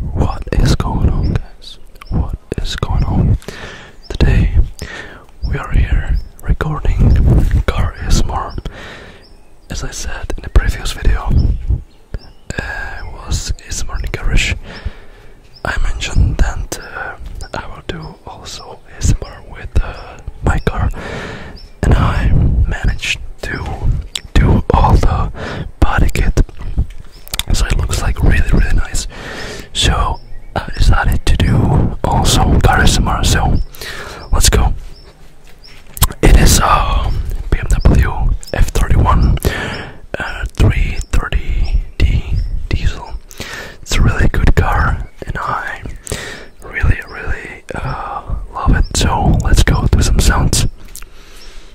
What is going on guys? What is going on? Today we are here recording Car is as I said in the previous video it uh, was is morning English. I mentioned that uh, I will do also ASMR with uh, my car and I managed to do all the body kit so it looks like really really nice so I decided to do also car charisma so let's go it is a BMW F31 330D diesel it's a really good car and I really really uh, love it so let's go do some sounds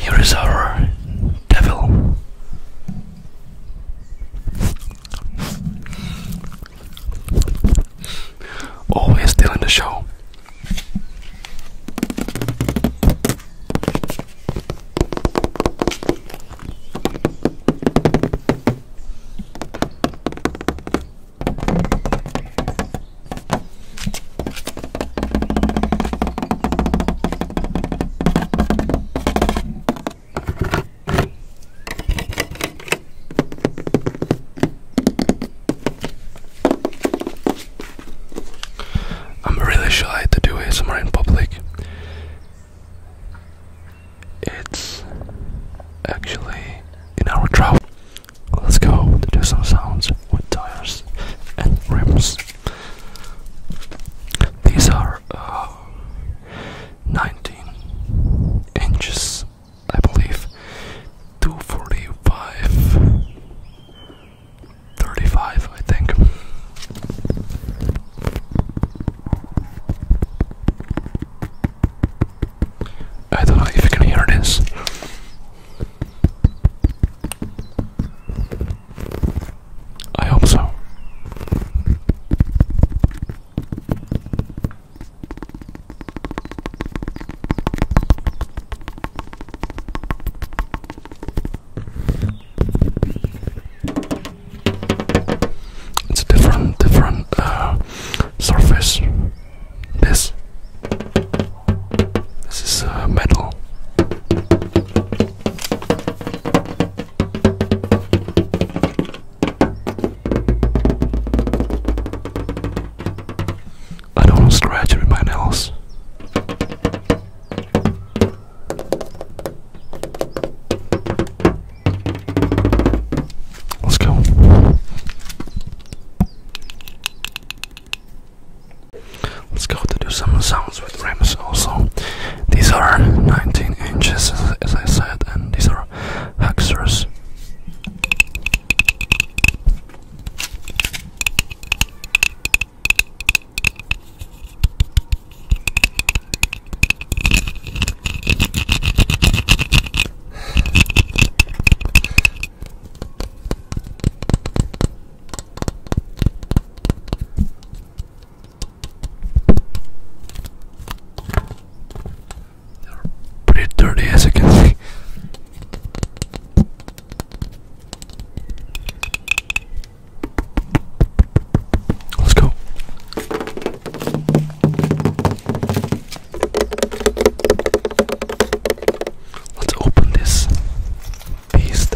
Here is our devil. Oh, Always stealing the show. I'm really shy to do somewhere in public. It's actually in our travel. Let's go do some sounds with tires and rims. These are uh, 19 inches, I believe, 245, 35, I think. I don't know if you can hear this. I hope so. It's a different different uh, surface. This. This is uh, metal. I don't scratch my nails. Let's go. Let's go to do some sounds with rims also. These are 19 inches as I said and these are hexers pretty dirty as you can see. Let's go. Let's open this beast.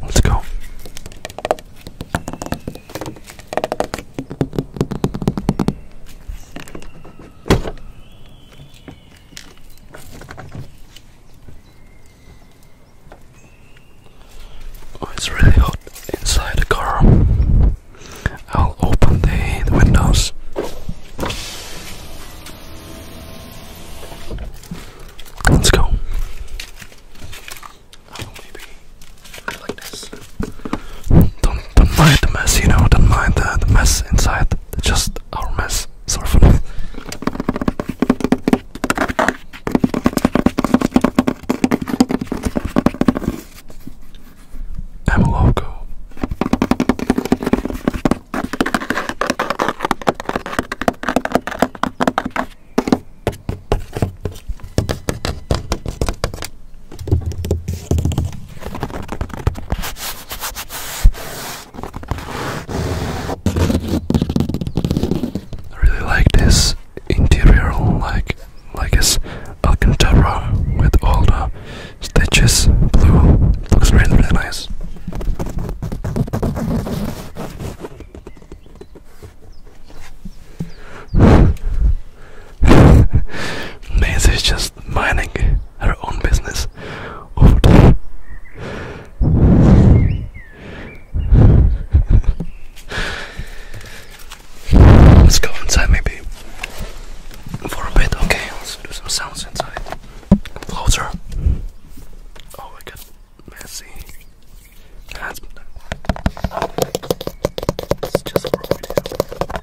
Let's go. Oh, it's really hot inside the car. I'll open the, the windows. Let's go. maybe like this. Don't, don't mind the mess, you know, don't mind the, the mess inside, just our mess. Sorry for that. I'm a logo. I really like this interior, like like this Alcantara with all the stitches, blue. looks really really nice. Nancy is just minding her own business Let's go inside maybe for a bit. Okay, let's do some sounds inside. closer. Oh, I got messy. That's it's just for a video.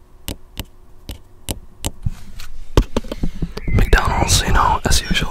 McDonald's, you know, as usual.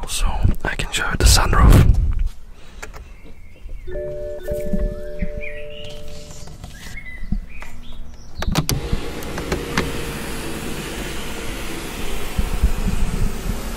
Also, I can show you the sunroof.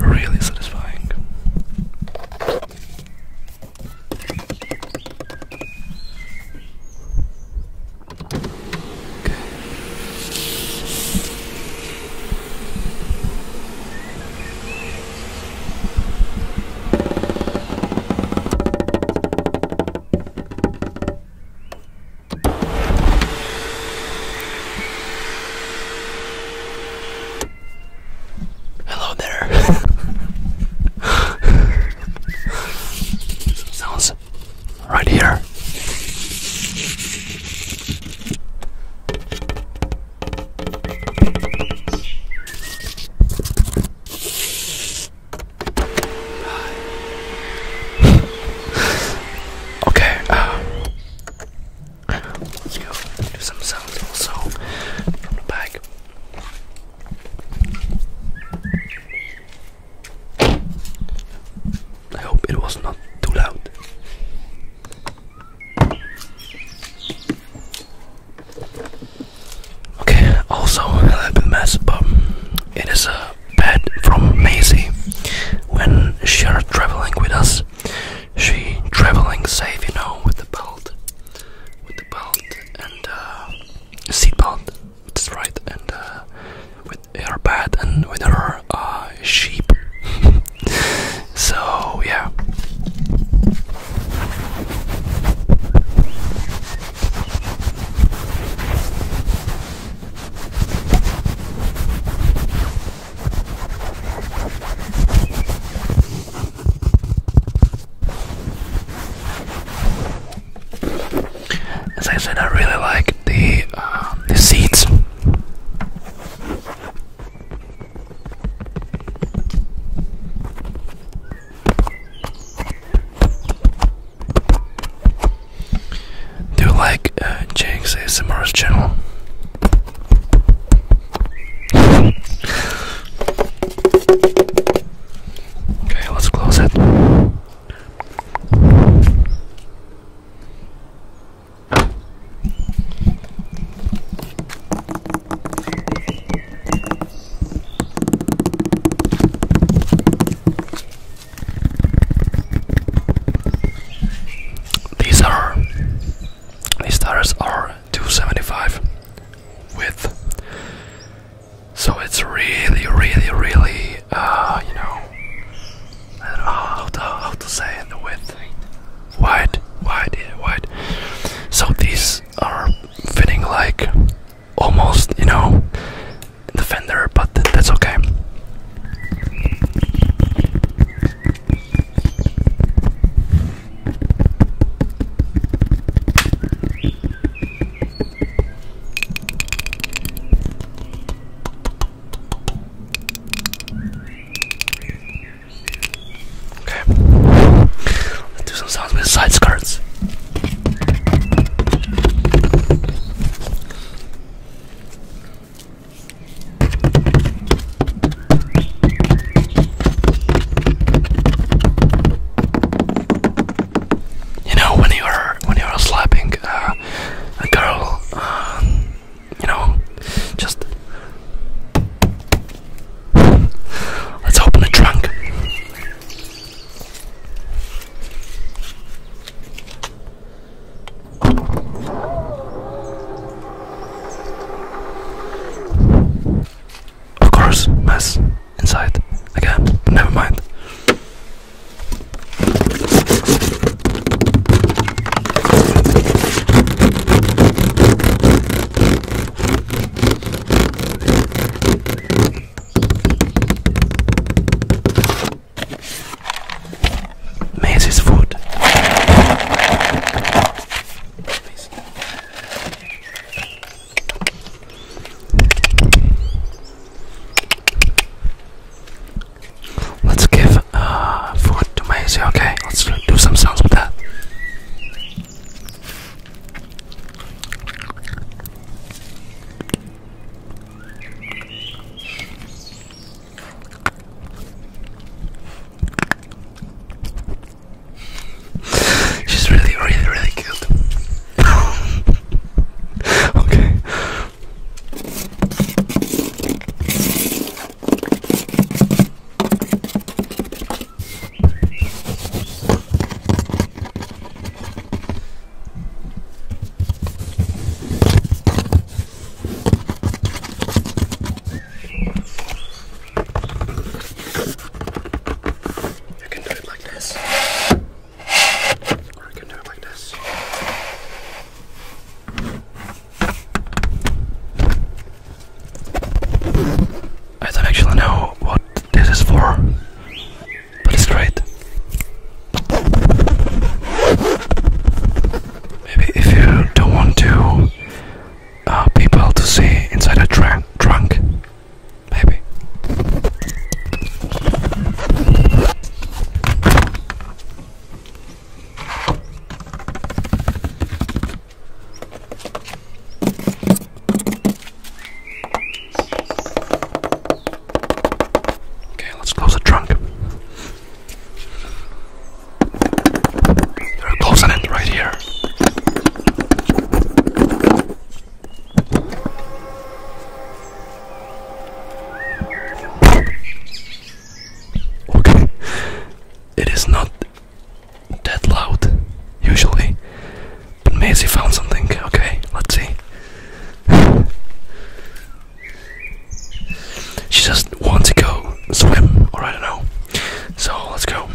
really satisfying. Hello there. Sounds right here. Okay, uh, let's go do some sounds also from the back. I hope it was not too loud. Okay, also a little bit mess, but it is a uh, Pat from Maisie. When she are traveling with us, she traveling safe, you know, with the belt, with the belt and uh, seat belt. That's right, and uh, with her pet and with her uh, sheep. so yeah. As I said, I really like the um, the seats. Do you like uh, Jake's ASMR's channel? okay, let's close it. These are these stars are 275 width, so it's really, really, really, uh, you know, how to, how to say it, the width, wide, wide, wide. So these are fitting like almost, you know, Defender, but that's okay. Okay. Let's do some sounds with side skirts. You know, when you're when you're slapping uh, a girl, um, you know, just let's open the trunk. Of course, mess inside again. Never mind. Maze food. Let's give uh, food to Maze, okay? Let's do some sounds with that. She's really, really, really cute. okay. You can do it like this, or you can do it like this. I don't actually know what this is for but it's great. Maybe if you don't want to uh, people to see inside a drunk, drunk, maybe. Okay, let's close the trunk. we it right here. Okay, it is not that loud usually, but Maisie found something. Okay, let's see. she just wants to go swim, or I don't know. So let's go.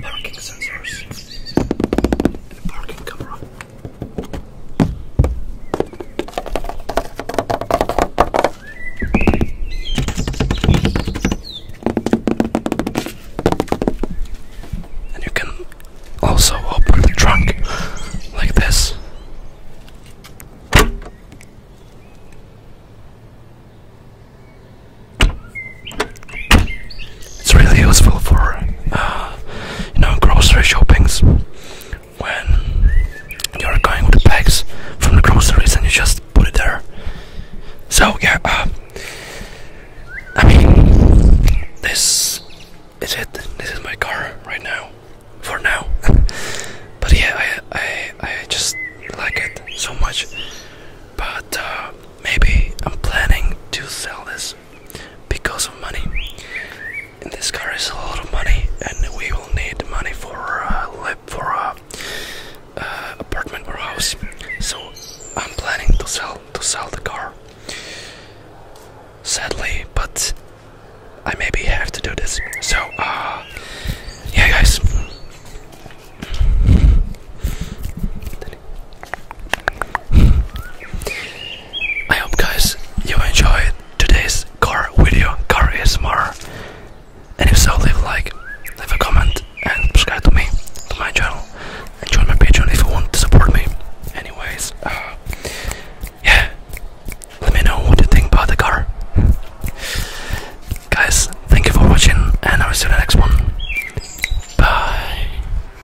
Parking sensors and a parking camera. And you can also open the trunk like this. It's really useful for uh, you know grocery shoppings when you're going with the bags from the groceries and you just put it there. So yeah, uh, I mean this is it. This is my car right now, for now. but yeah, I I I just like it so much. But uh, maybe I'm planning to sell this because of money. this car is a lot of money, and we will need money for a uh, for a uh, apartment or house. So I'm planning to sell to sell the car. Sadly, but I maybe have to do this. So uh, yeah, guys. I hope guys you enjoyed today's car video, car is more. And if so, leave a like, leave a comment, and subscribe to me, to my channel, and join my Patreon if you want to support me. Anyways, uh, yeah, let me know what you think about the car. Guys, thank you for watching, and I will see you in the next one. Bye.